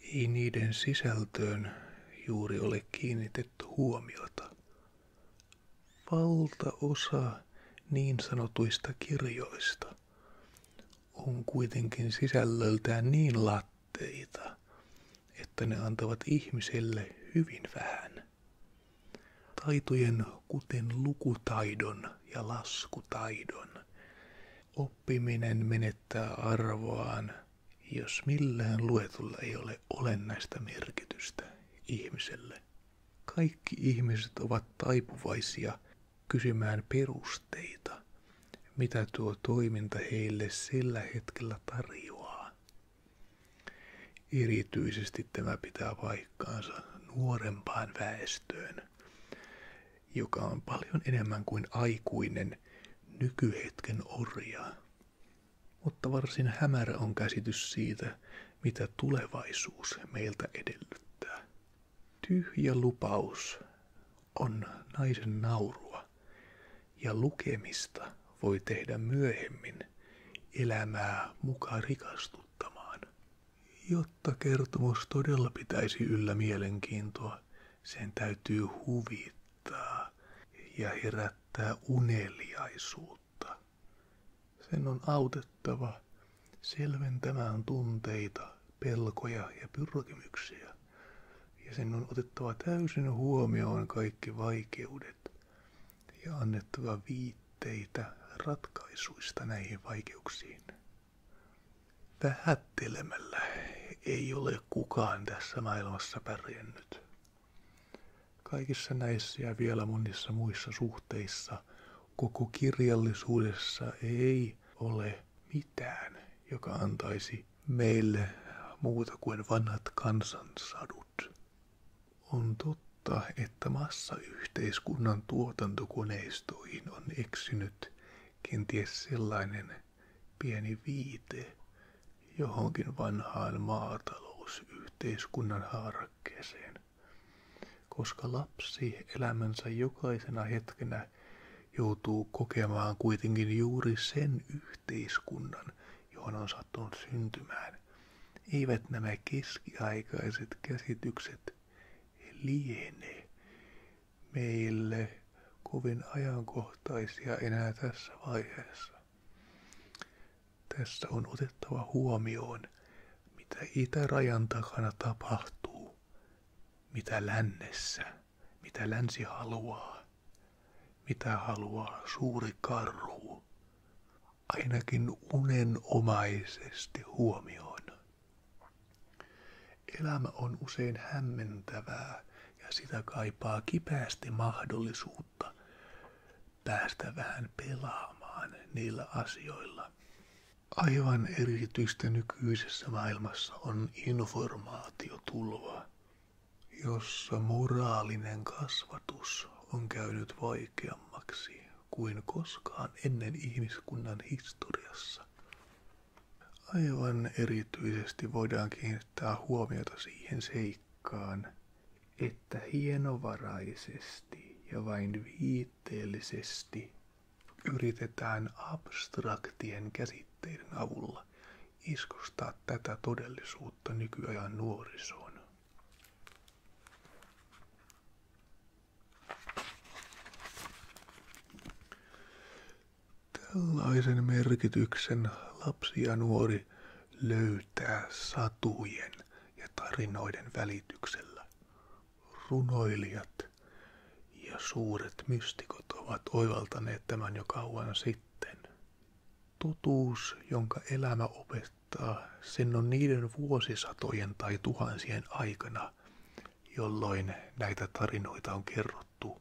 Ei niiden sisältöön juuri ole kiinnitetty huomiota. Valtaosa niin sanotuista kirjoista on kuitenkin sisällöltään niin latteita, että ne antavat ihmiselle hyvin vähän. Taitojen, kuten lukutaidon ja laskutaidon, Oppiminen menettää arvoaan, jos millään luetulla ei ole olennaista merkitystä ihmiselle. Kaikki ihmiset ovat taipuvaisia kysymään perusteita, mitä tuo toiminta heille sillä hetkellä tarjoaa. Erityisesti tämä pitää paikkaansa nuorempaan väestöön, joka on paljon enemmän kuin aikuinen nykyhetken orja. Mutta varsin hämärä on käsitys siitä, mitä tulevaisuus meiltä edellyttää. Tyhjä lupaus on naisen naurua, ja lukemista voi tehdä myöhemmin elämää mukaan rikastuttamaan. Jotta kertomus todella pitäisi yllä mielenkiintoa, sen täytyy huvittaa ja herättää uneliaisuutta. Sen on autettava selventämään tunteita, pelkoja ja pyrkimyksiä. Ja sen on otettava täysin huomioon kaikki vaikeudet ja annettava viitteitä ratkaisuista näihin vaikeuksiin vähättelemällä ei ole kukaan tässä maailmassa pärjännyt. Kaikissa näissä ja vielä monissa muissa suhteissa koko kirjallisuudessa ei ole mitään, joka antaisi meille muuta kuin vanhat kansansadut. On totta totta, että yhteiskunnan tuotantokoneistoihin on eksynyt kenties sellainen pieni viite johonkin vanhaan maatalousyhteiskunnan harkkeeseen, koska lapsi elämänsä jokaisena hetkenä joutuu kokemaan kuitenkin juuri sen yhteiskunnan, johon on sattunut syntymään, eivät nämä keskiaikaiset käsitykset liene meille kovin ajankohtaisia enää tässä vaiheessa. Tässä on otettava huomioon, mitä itärajan takana tapahtuu, mitä lännessä, mitä länsi haluaa, mitä haluaa suuri karhu ainakin unenomaisesti huomioon. Elämä on usein hämmentävää ja sitä kaipaa kipeästi mahdollisuutta päästä vähän pelaamaan niillä asioilla. Aivan erityistä nykyisessä maailmassa on informaatiotulva, jossa moraalinen kasvatus on käynyt vaikeammaksi kuin koskaan ennen ihmiskunnan historiassa. Aivan erityisesti voidaan kiinnittää huomiota siihen seikkaan, että hienovaraisesti ja vain viitteellisesti yritetään abstraktien käsitteiden avulla iskostaa tätä todellisuutta nykyajan nuorisoon. Tällaisen merkityksen lapsi ja nuori löytää satujen ja tarinoiden välityksellä. Runoilijat ja suuret mystikot ovat oivaltaneet tämän jo kauan sitten. Totuus, jonka elämä opettaa, kohtaa sen on niiden vuosisatojen tai tuhansien aikana, jolloin näitä tarinoita on kerrottu.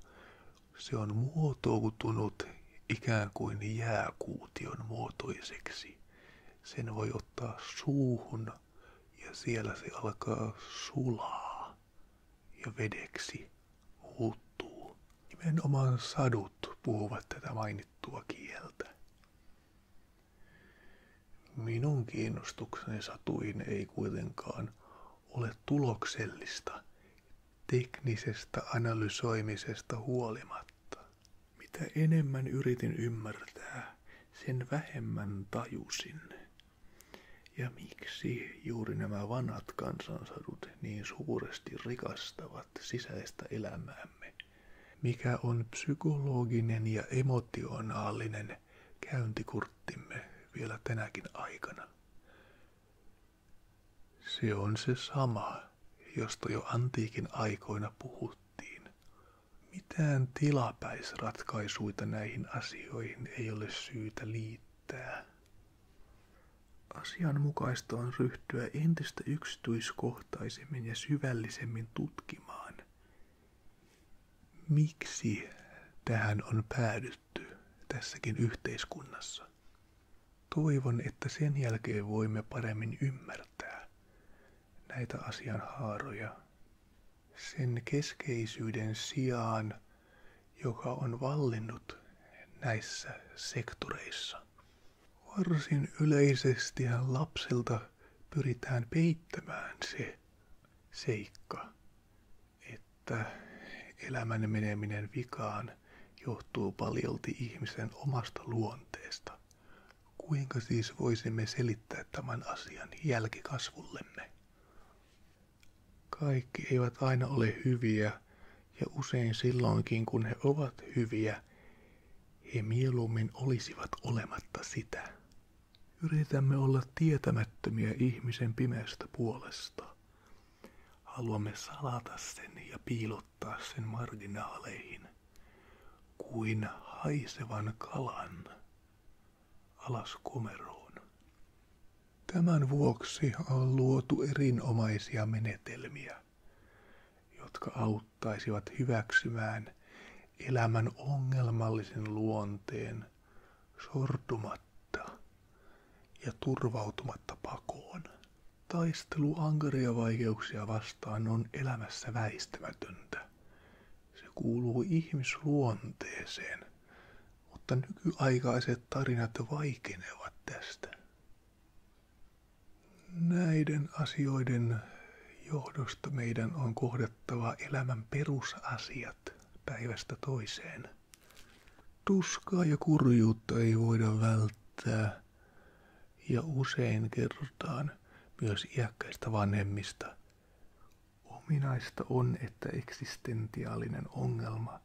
Se on muotoutunut ikään kuin jääkuution muotoiseksi. Sen voi ottaa suuhun ja siellä se alkaa sulaa ja vedeksi muuttuu. Nimenomaan sadut puhuvat tätä mainittua mainittua kieltä. Minun kiinnostukseni satuin ei kuitenkaan ole tuloksellista teknisestä analysoimisesta huolimatta. Mitä enemmän yritin ymmärtää, sen vähemmän tajusin. Ja miksi juuri nämä vanhat kansansadut niin suuresti rikastavat sisäistä elämäämme? mikä on psykologinen ja emotionaalinen käyntikurttimme vielä tänäkin aikana. Se on se sama, josta jo antiikin aikoina puhuttiin. Mitään tilapäisratkaisuita näihin asioihin ei ole syytä liittää. Asianmukaista on ryhtyä entistä yksityiskohtaisemmin ja syvällisemmin tutkimaan, miksi tähän on päädytty tässäkin yhteiskunnassa. Toivon, että sen jälkeen voimme paremmin ymmärtää näitä asianhaaroja sen keskeisyyden sijaan, joka on vallinnut näissä sektoreissa. Varsin yleisesti lapsilta pyritään peittämään se seikka, että elämän meneminen vikaan johtuu paljolti ihmisen omasta luonteesta. Kuinka siis voisimme selittää tämän asian jälkikasvullemme? Kaikki eivät aina ole hyviä ja usein silloinkin kun he ovat hyviä, he mieluummin olisivat olematta sitä. Yritämme olla tietämättömiä ihmisen pimeästä puolesta. Haluamme salata sen ja piilottaa sen marginaaleihin, kuin haisevan kalan alas komeroon. Tämän vuoksi on luotu erinomaisia menetelmiä, jotka auttaisivat hyväksymään elämän ongelmallisen luonteen sortumatta ja turvautumatta pakoon. Taistelu ankaria vaikeuksia vastaan on elämässä väistämätöntä. Se kuuluu ihmisluonteeseen, mutta nykyaikaiset tarinat vaikenevat tästä. Näiden asioiden johdosta meidän on kohdattava elämän perusasiat päivästä toiseen. Tuskaa ja kurjuutta ei voida välttää, ja usein kerrotaan myös iäkkäistä vanhemmista. Ominaista on, että eksistentiaalinen ongelma –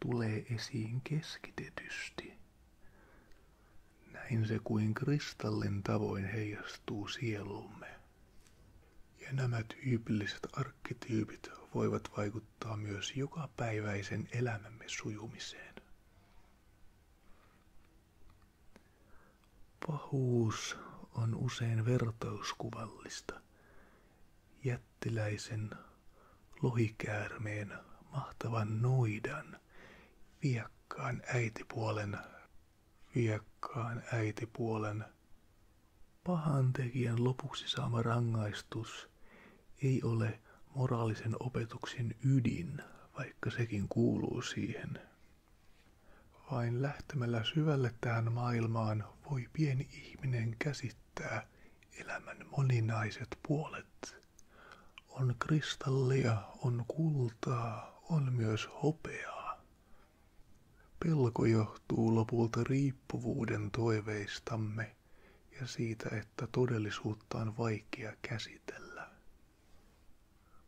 tulee esiin keskitetysti. Näin se kuin kristallin tavoin heijastuu sielumme. Ja nämä tyypilliset arkkityypit voivat vaikuttaa myös jokapäiväisen elämämme sujumiseen. Pahuus on usein vertauskuvallista jättiläisen lohikäärmeen mahtavan noidan viekkaan äitipuolen, viekkaan äitipuolen. Pahan tekijän lopuksi saama rangaistus ei ole moraalisen opetuksen ydin, vaikka sekin kuuluu siihen. Vain lähtemällä syvälle tähän maailmaan voi pieni ihminen käsittää, että elämän moninaiset puolet on kristallia, on kultaa, on myös hopeaa. Pelko johtuu lopulta riippuvuuden toiveistamme ja siitä, että todellisuutta on vaikea käsitellä.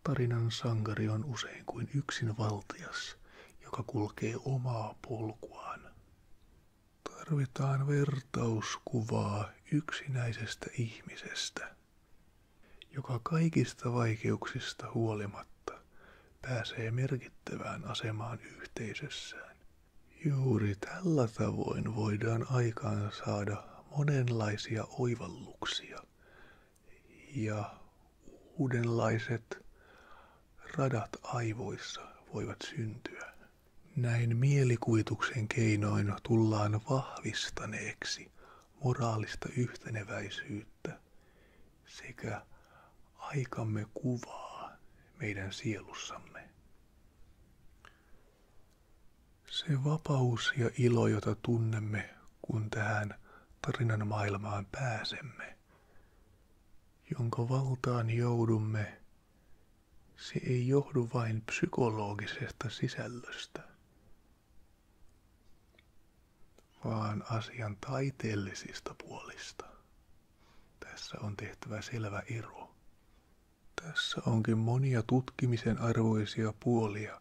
Tarinan sankari on usein kuin yksinvaltias, joka kulkee omaa polkuaan. Tarvitaan vertauskuvaa yksinäisestä ihmisestä, joka kaikista vaikeuksista huolimatta pääsee merkittävään asemaan yhteisössään. Juuri tällä tavoin voidaan aikaan saada monenlaisia oivalluksia ja uudenlaiset radat aivoissa voivat syntyä. Näin mielikuvituksen keinoin tullaan vahvistaneeksi moraalista yhteneväisyyttä sekä aikamme kuvaa meidän sielussamme. Se vapaus ja ilo, jota tunnemme, kun tähän tarinan maailmaan pääsemme, jonka valtaan joudumme, se ei johdu vain psykologisesta sisällöstä, vaan asian taiteellisista puolista. Tässä on tehtävä selvä ero. Tässä onkin monia tutkimisen arvoisia puolia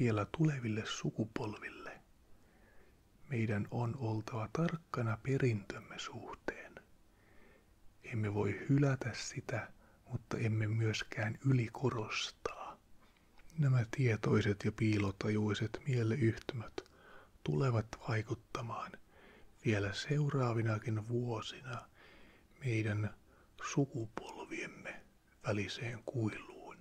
vielä tuleville sukupolville, meidän on oltava tarkkana perintömme suhteen. Emme voi hylätä sitä, mutta emme myöskään ylikorostaa. Nämä tietoiset ja piilotajuiset mieleyhtymät tulevat vaikuttamaan vielä seuraavinakin vuosina meidän sukupolviemme väliseen kuiluun.